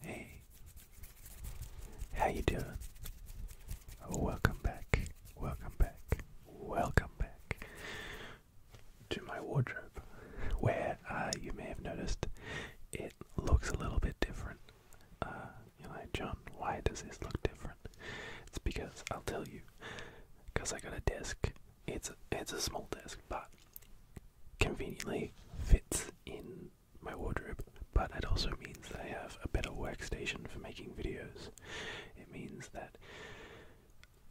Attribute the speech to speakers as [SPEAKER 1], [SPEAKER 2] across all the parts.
[SPEAKER 1] Hey, how you doing? Welcome back, welcome back, welcome back to my wardrobe, where uh, you may have noticed it looks a little bit different. Uh, you know, John, why does this look different? It's because I'll tell you, because I got a desk. It's a, it's a small desk, but conveniently fits in my wardrobe, but it also means I have a better workstation for making videos. It means that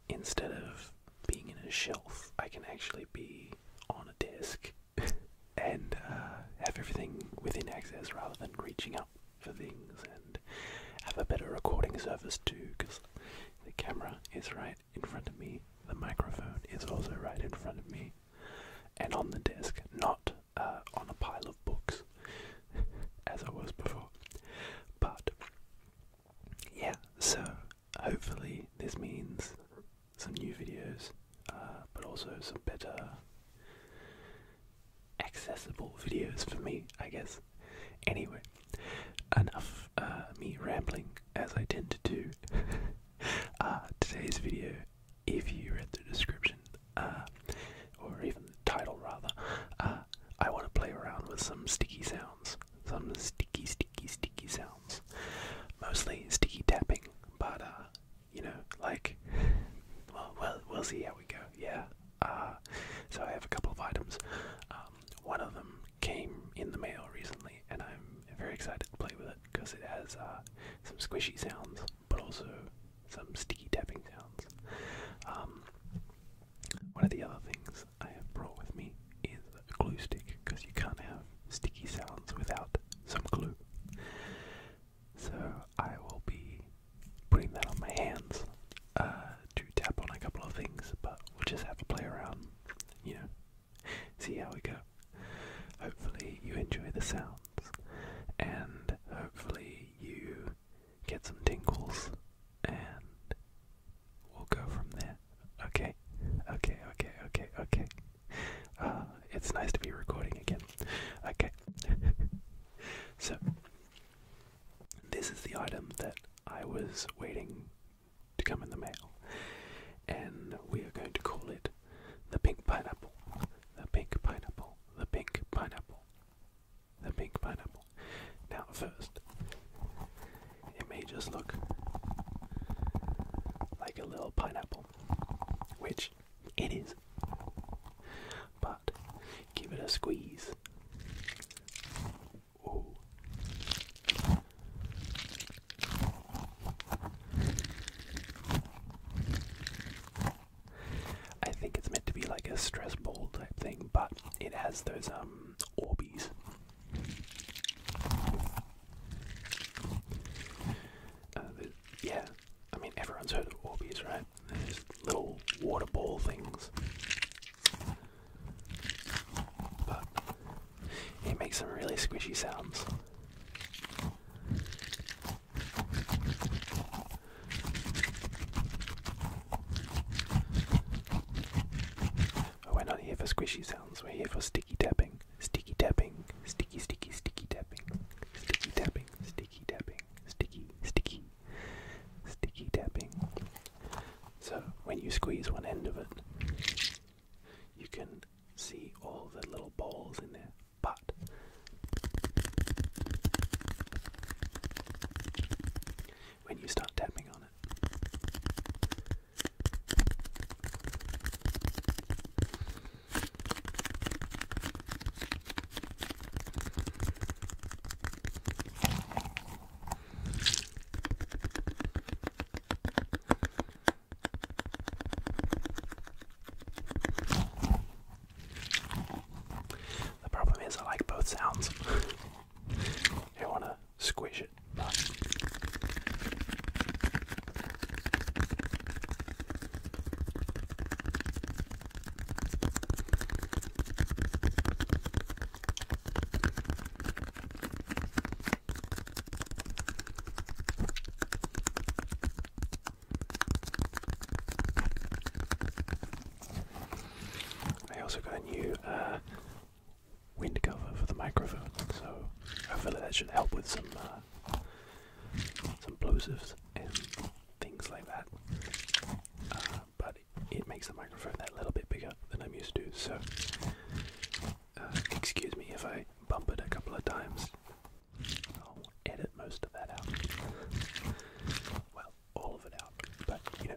[SPEAKER 1] instead of being in a shelf, I can actually be on a desk and uh, have everything within access rather than reaching up for things and have a better recording surface too because the camera is right in front of me. The microphone is also right in front of me. And on the desk, not uh, on a pile of books, as I was before. But, yeah, so hopefully this means some new videos, uh, but also some better accessible videos for me, I guess. Anyway, enough uh, me rambling, as I tend to do. Uh, today's video, if you read the description, uh, or even the title rather, uh, I want to play around with some sticky sounds. Some sticky, sticky, sticky sounds. Mostly sticky tapping, but, you know, like, well, we'll see how we go, yeah. so I have a couple of items. Um, one of them came in the mail recently, and I'm very excited to play with it because it has uh, some squishy sounds, but also some sticky tapping sounds. Um, one of the other things I have brought with me is a glue stick because you can't have sticky sounds without some glue. So I will be putting that on my hands uh, to tap on a couple of things, but we'll just have to play around, you know, see how we go. Hopefully, you enjoy the sounds, and hopefully, you get some tingles, and we'll go from there. Okay, okay, okay, okay, okay. Uh, it's nice to be recording again. Okay. so, this is the item that I was waiting to come in the mail. And we are going to call it the pink pineapple. The pink pineapple. The pink pineapple. The pink pineapple. Now, first, it may just look like a little pineapple, which it is. But give it a squeeze. I think it's meant to be like a stress ball type thing, but it has those um Orbeez. Uh, yeah, I mean everyone's heard of Orbeez, right? Those little water ball things. But it makes some really squishy sounds. Oh, we're not here for squishy sounds, we're here for sticky tapping. Sticky tapping, sticky, sticky, sticky tapping. Sticky tapping, sticky tapping, sticky, sticky, sticky tapping. So when you squeeze one end of it, you can see all the little balls in there, but when you start tapping on it, the problem is, I like both sounds. I want to squish it. I also got a new uh, wind cover for the microphone, so hopefully that should help with some uh, some plosives and things like that. Uh, but it, it makes the microphone that little bit bigger than I'm used to, so uh, excuse me if I bump it a couple of times. I'll edit most of that out. Well, all of it out, but you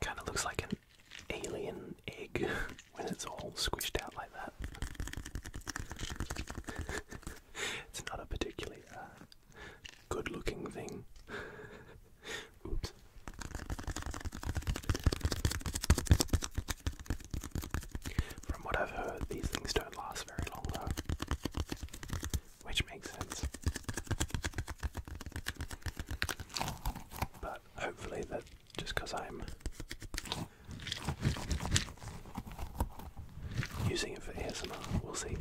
[SPEAKER 1] Kind of looks like an alien egg when it's all squished out like that. it's not a particularly uh, good looking thing. From what I've heard, these things don't last very long though, which makes sense hopefully that just because I'm using it for ASMR, we'll see.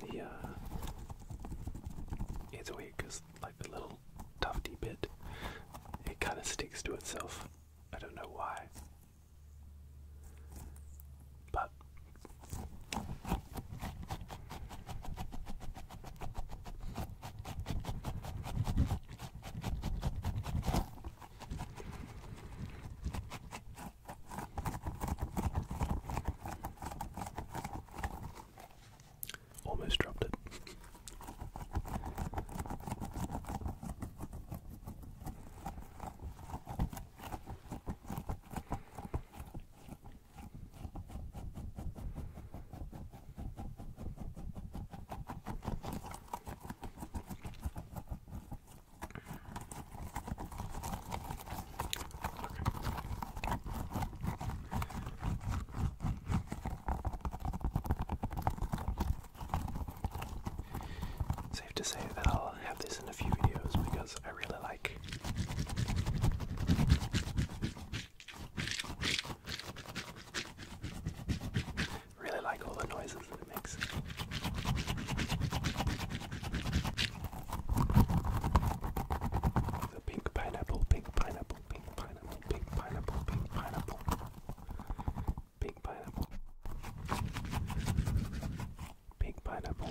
[SPEAKER 1] The, uh, it's weird because, like, the little tufty bit, it kind of sticks to itself. I don't know why. But. Almost dropped it. Safe to say that I'll have this in a few videos because I really like Really like all the noises that it makes. pink pineapple, pink pineapple, pink pineapple, pink pineapple, pink pineapple, pink pineapple, pink pineapple.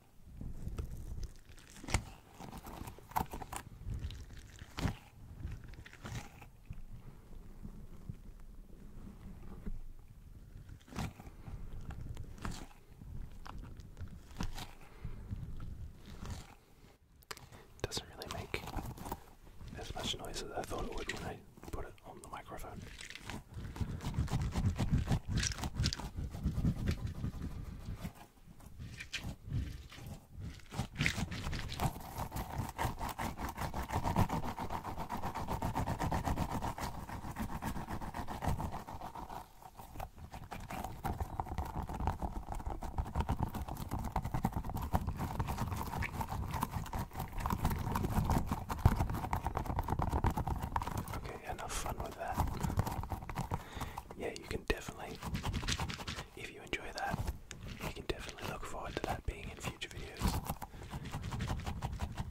[SPEAKER 1] Doesn't really make as much noise as I thought it would when I put it on the microphone. Okay, enough fun with that. Yeah, you can definitely, if you enjoy that, you can definitely look forward to that being in future videos.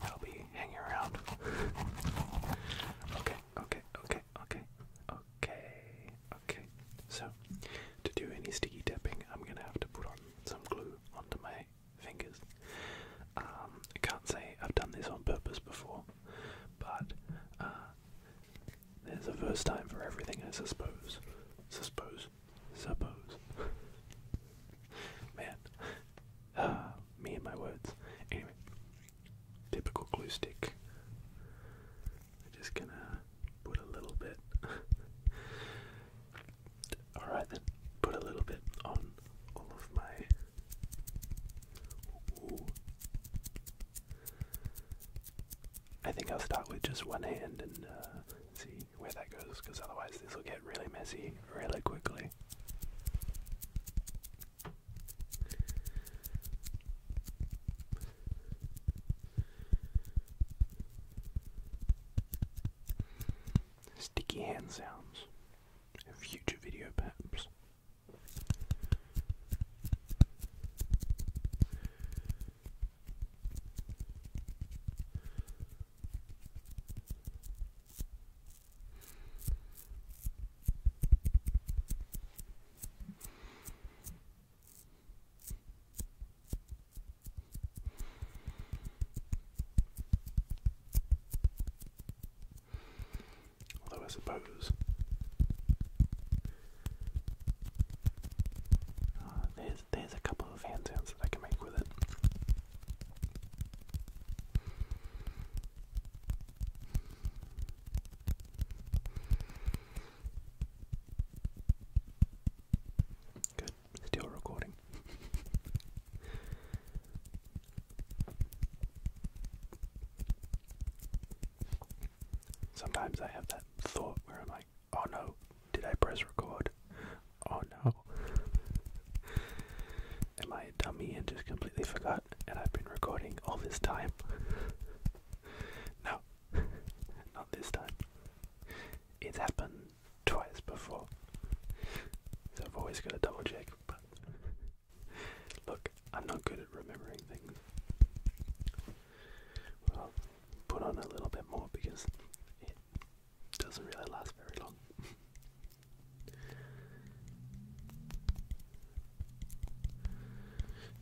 [SPEAKER 1] I'll be hanging around. okay, okay, okay, okay, okay, okay. So, to do any sticky tapping, I'm gonna have to put on some glue onto my fingers. Um, I can't say I've done this on purpose before, but uh, there's a first time for everything, I suppose. Suppose. Suppose. Man. Uh, me and my words. Anyway. Typical glue stick. just gonna put a little bit. Alright then, put a little bit on all of my I think I'll start with just one hand and uh, see where that goes, because otherwise this will get really messy really quickly. Sticky hand sounds a future video perhaps. Although I suppose uh, there's there's a couple of hand that I can make with it. Good, still recording. Sometimes I have that thought where I'm like, oh no, did I press record? Oh no. Am I a dummy and just completely forgot and I've been recording all this time? no, not this time. It's happened twice before. I've always got to double check, Look, I'm not good at remembering things. Well, put on a little bit more because it doesn't really last very long.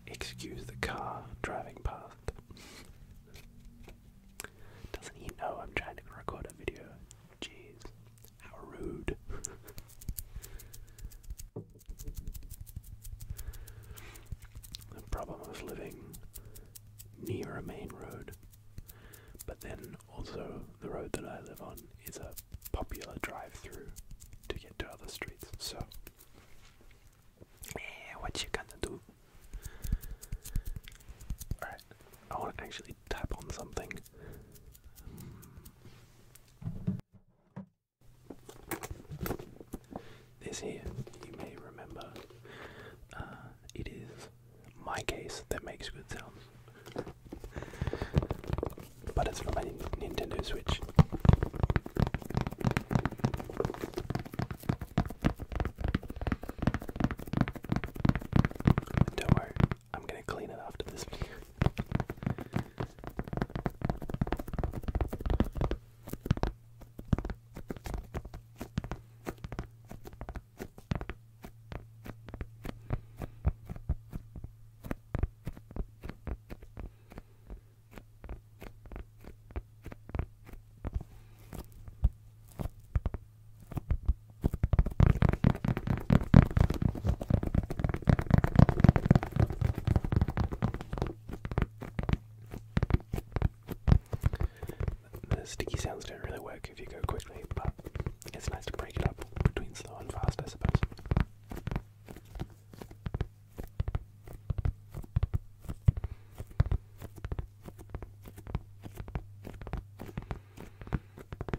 [SPEAKER 1] Excuse the car driving past. Doesn't he know I'm trying to record a video? Jeez. How rude. the problem was living near a main road, but then also the road that I live on is a popular drive through to get to other streets. So, eh, what you gonna do? I want to actually tap on something. This here, you may remember, uh, it is my case that makes good sounds. But it's from my Nintendo Switch. Don't worry, I'm gonna clean it after this video. The sticky sounds don't really work if you go quickly, but it's nice to break it up between slow and fast, I suppose.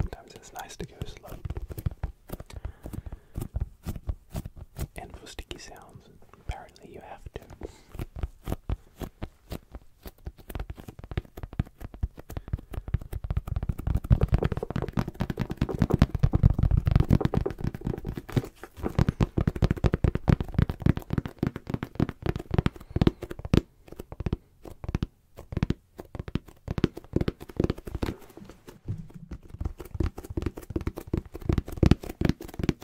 [SPEAKER 1] Sometimes it's nice to go slow and for sticky sounds. Apparently, you have to.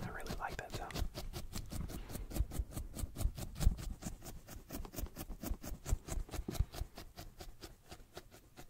[SPEAKER 1] I really like that sound.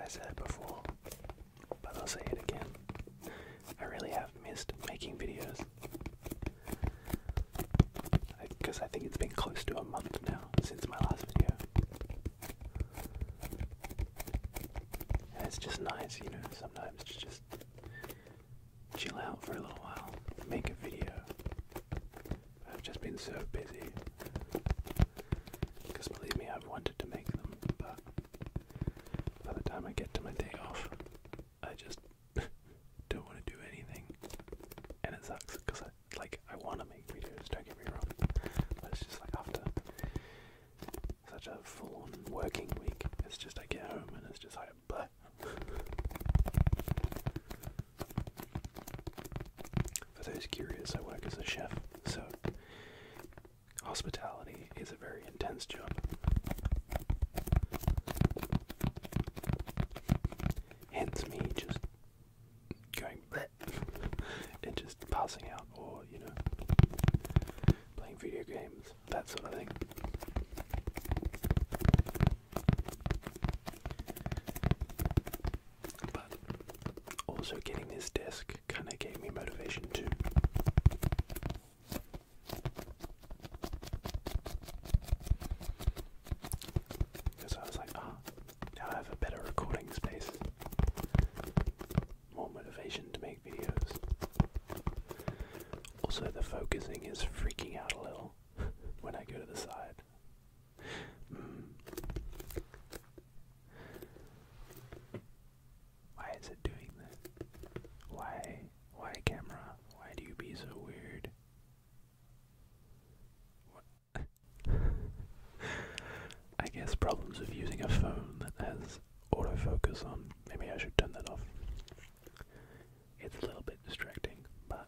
[SPEAKER 1] I said it before, but I'll say it again. I really have missed making videos. Because I, think it's been close to a month now since my last video. it's just nice, you know, sometimes to just chill out for a little while, make a video. I've just been so busy. Because believe me, I've wanted to make them, but by the time I get to my day off, I just don't want to do anything. And it sucks because I like I want to make videos, don't get me wrong. But it's just like after such a full on working week, it's just I get home and it's just like but for those curious, I work as a chef, so hospitality is a very intense job. Hence me just going and just passing out or, you know, playing video games, that sort of thing. But also getting this desk kind of gave me motivation too. Because I was like, ah, now I have a better recording space. More motivation to make videos. Also, the focusing is freaking out a little when I go to the side. Hmm. Why is it doing this? Why? Why, camera? Why do you be so weird? I guess problems of using a phone that has autofocus on. Maybe I should turn that off. It's a little bit distracting, but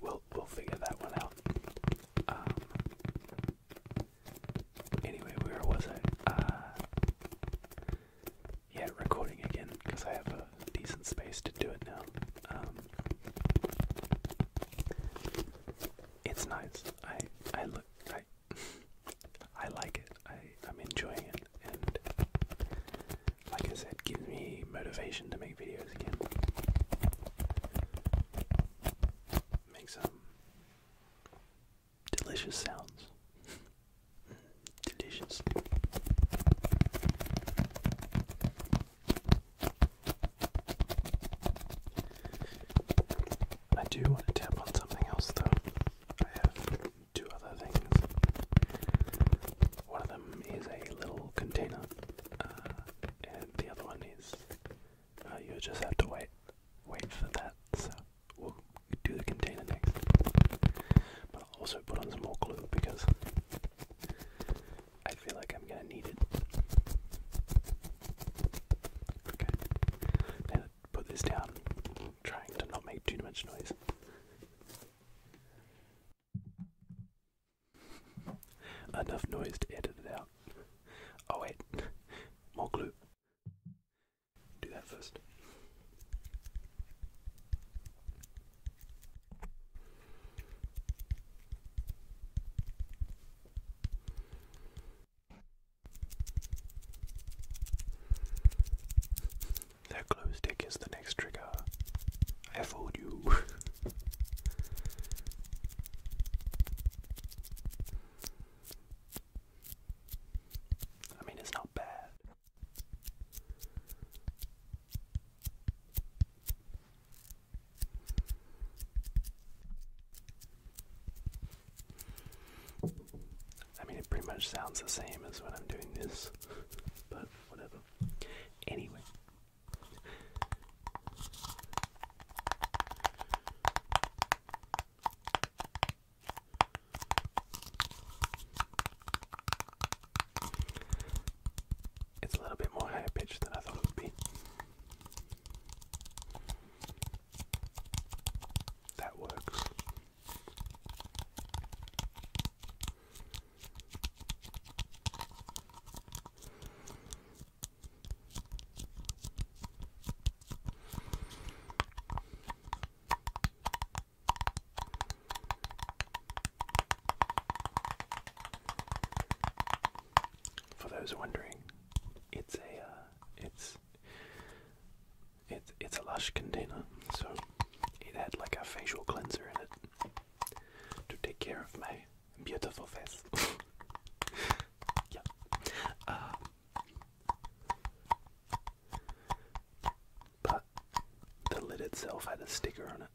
[SPEAKER 1] we'll we'll figure that one out. Um, anyway, where was I? Uh, yeah, recording again because I have a decent space to do it now. Um, it's nice. I I look I I like it. I I'm enjoying it, and like I said, gives me motivation to make videos again. Make some delicious sounds. delicious. I do want to tap on something else though. I have two other things. One of them is a little container, uh, and the other one is uh, you just have to wait, wait for that. So we'll do the container next. But I'll also put on some more glue because I feel like I'm gonna need it. Okay. Now put this down, trying to not make too much noise. Enough noise to edit it out. Oh wait, more glue. Do that first. That glow stick is the next trigger. I fooled you. I mean, it's not bad. I mean, it pretty much sounds the same as when I'm doing this, but whatever. Anyway. It's a little bit more high pitched than I thought it would be. That works for those wondering, it's a uh, it's it's it's a lush container, so it had like a facial cleanser in it to take care of my beautiful face. yeah. Um, but the lid itself had a sticker on it,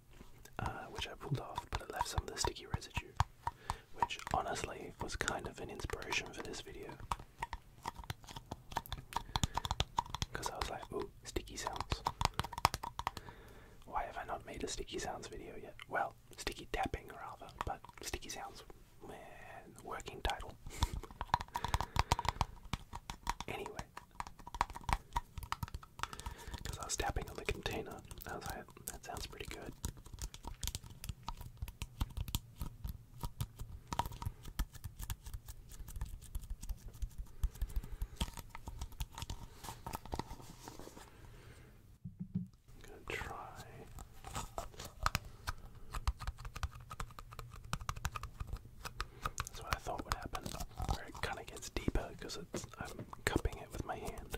[SPEAKER 1] uh, which I pulled off, but it left some of the sticky residue which honestly was kind of an inspiration for this video. Because I was like, ooh, sticky sounds. Why have I not made a sticky sounds video yet? Well, sticky tapping rather, but sticky sounds, man, working title. anyway, because I was tapping on the container, I that sounds pretty good. I'm going to try. That's what I thought would happen, it kind of gets deeper because I'm cupping it with my hand.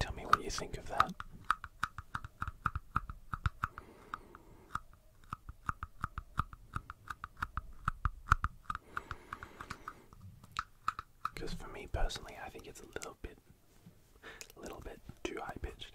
[SPEAKER 1] Tell me what you think of that. Because for me personally, I think it's a little bit, a little bit too high pitched.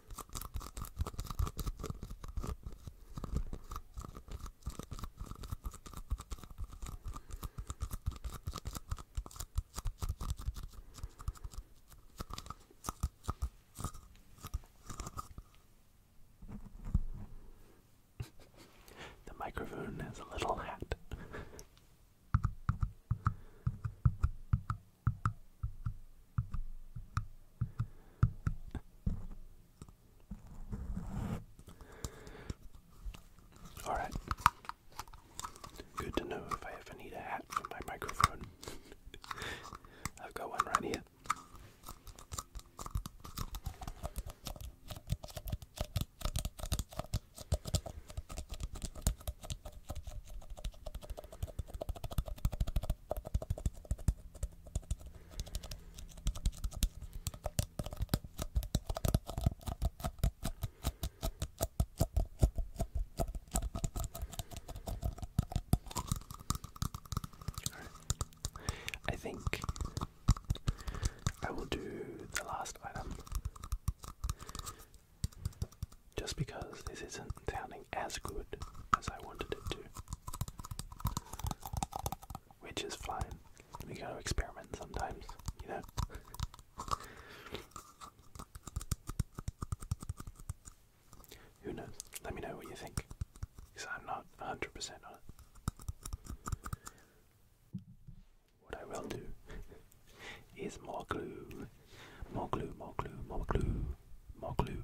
[SPEAKER 1] the microphone has a little hat. Alright. Good to know if I ever need a hat for my microphone. I've got one right here. I think I will do the last item just because this isn't counting as good as I wanted it to. Which is fine. We gotta experiment sometimes, you know? Who knows? Let me know what you think. Because I'm not 100% on it. What I will do is more glue. More glue, more glue, more glue, more glue.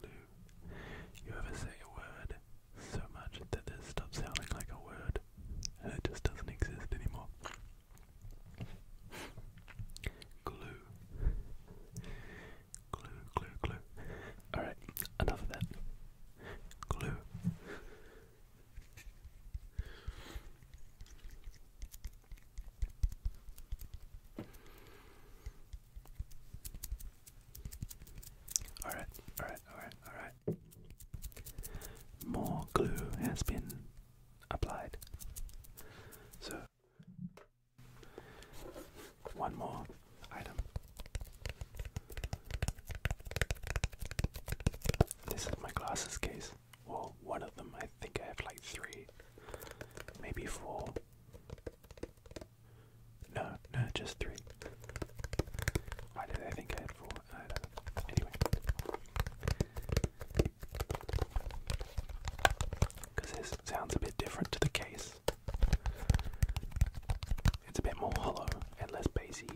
[SPEAKER 1] glue. You ever say a word so much that it stops sounding like a word and it just doesn't exist anymore? glue. Glue, glue, glue. Alright, enough of that. Glue. Alright, alright, alright, alright. More glue has been applied. So, one more item. This is my glasses case. Well, one of them, I think I have like three, maybe four. No, no, just three. I think I had four? I don't know. Uh, anyway. Because this sounds a bit different to the case. It's a bit more hollow and less bassy.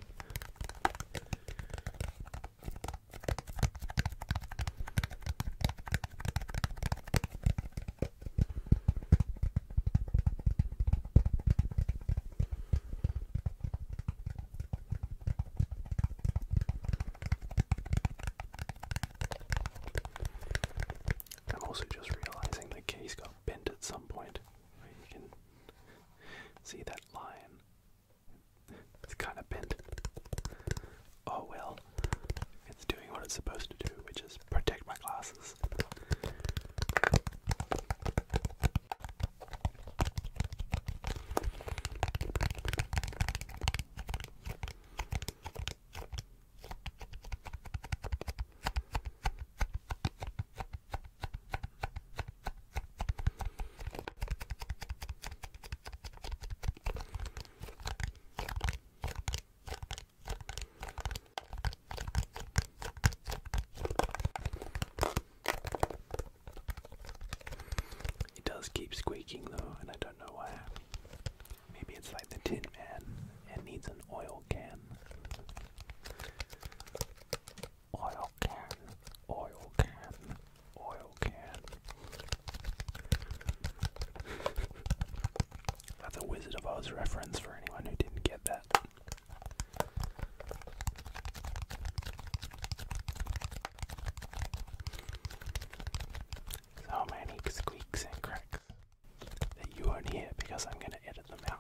[SPEAKER 1] I'm also just realizing the case got bent at some point. you can see that line. It's kind of bent. Oh well it's doing what it's supposed to do, which is protect my glasses. It does keep squeaking though, and I don't know why. Maybe it's like the Tin Man and needs an oil can. Oil can, oil can, oil can. That's a Wizard of Oz reference for anyone who didn't get that. So many squeaks and cracks that you won't hear because I'm going to edit them out.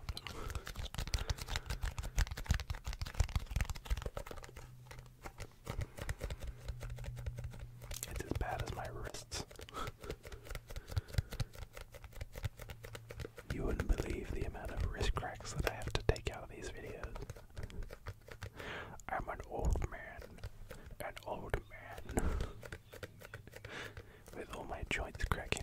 [SPEAKER 1] It's as bad as my wrists. You wouldn't believe the amount of wrist cracks that I have to take out of these videos. I'm an old man. An old man. With all my joints cracking.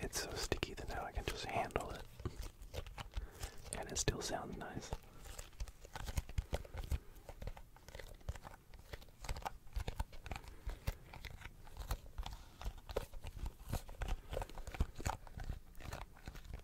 [SPEAKER 1] It's so sticky that now I can just handle it. And it still sounds nice.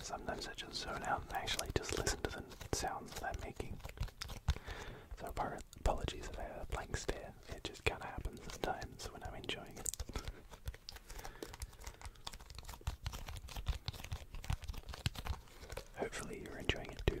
[SPEAKER 1] Sometimes I just zone out and actually just listen to the sounds that I'm making. So apologies if I have a blank stare. It just kinda happens sometimes when I'm enjoying it. Hopefully you're enjoying it too.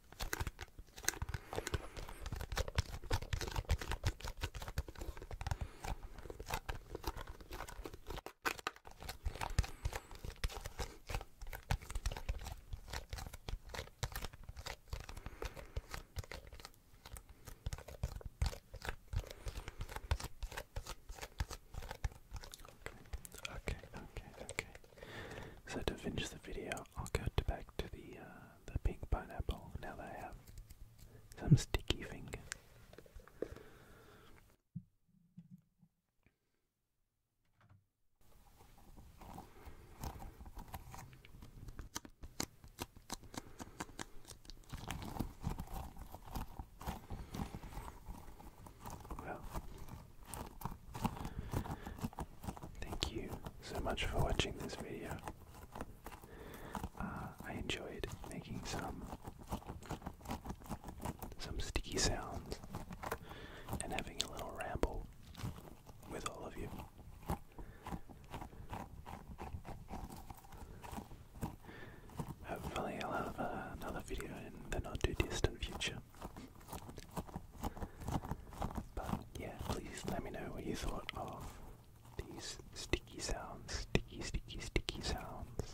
[SPEAKER 1] Okay, okay, okay. So to finish the video, I'll go back to the uh, the pink pineapple now that I have some sticky finger. Well, Thank you so much for watching this video. Uh, I enjoyed making some some sticky sounds and having a little ramble with all of you. Hopefully, I'll have uh, another video in the not too distant future. But yeah, please let me know what you thought of these sticky sounds, sticky, sticky, sticky sounds.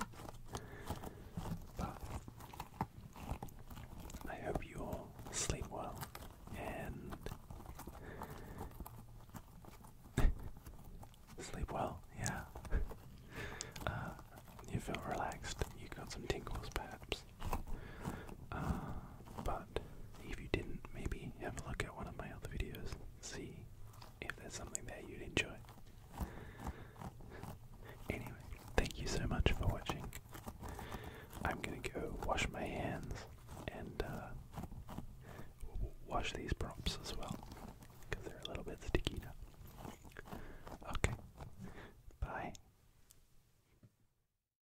[SPEAKER 1] But I hope you all sleep well and sleep well, yeah. Uh, you feel relaxed, you got some tingles perhaps. Uh, but if you didn't, maybe have a look at one of my other videos, see if there's something there you'd enjoy. Anyway, thank you so much for watching. I'm gonna go wash my hands and uh, wash these props as well, because they're a little bit sticky now. Okay, bye.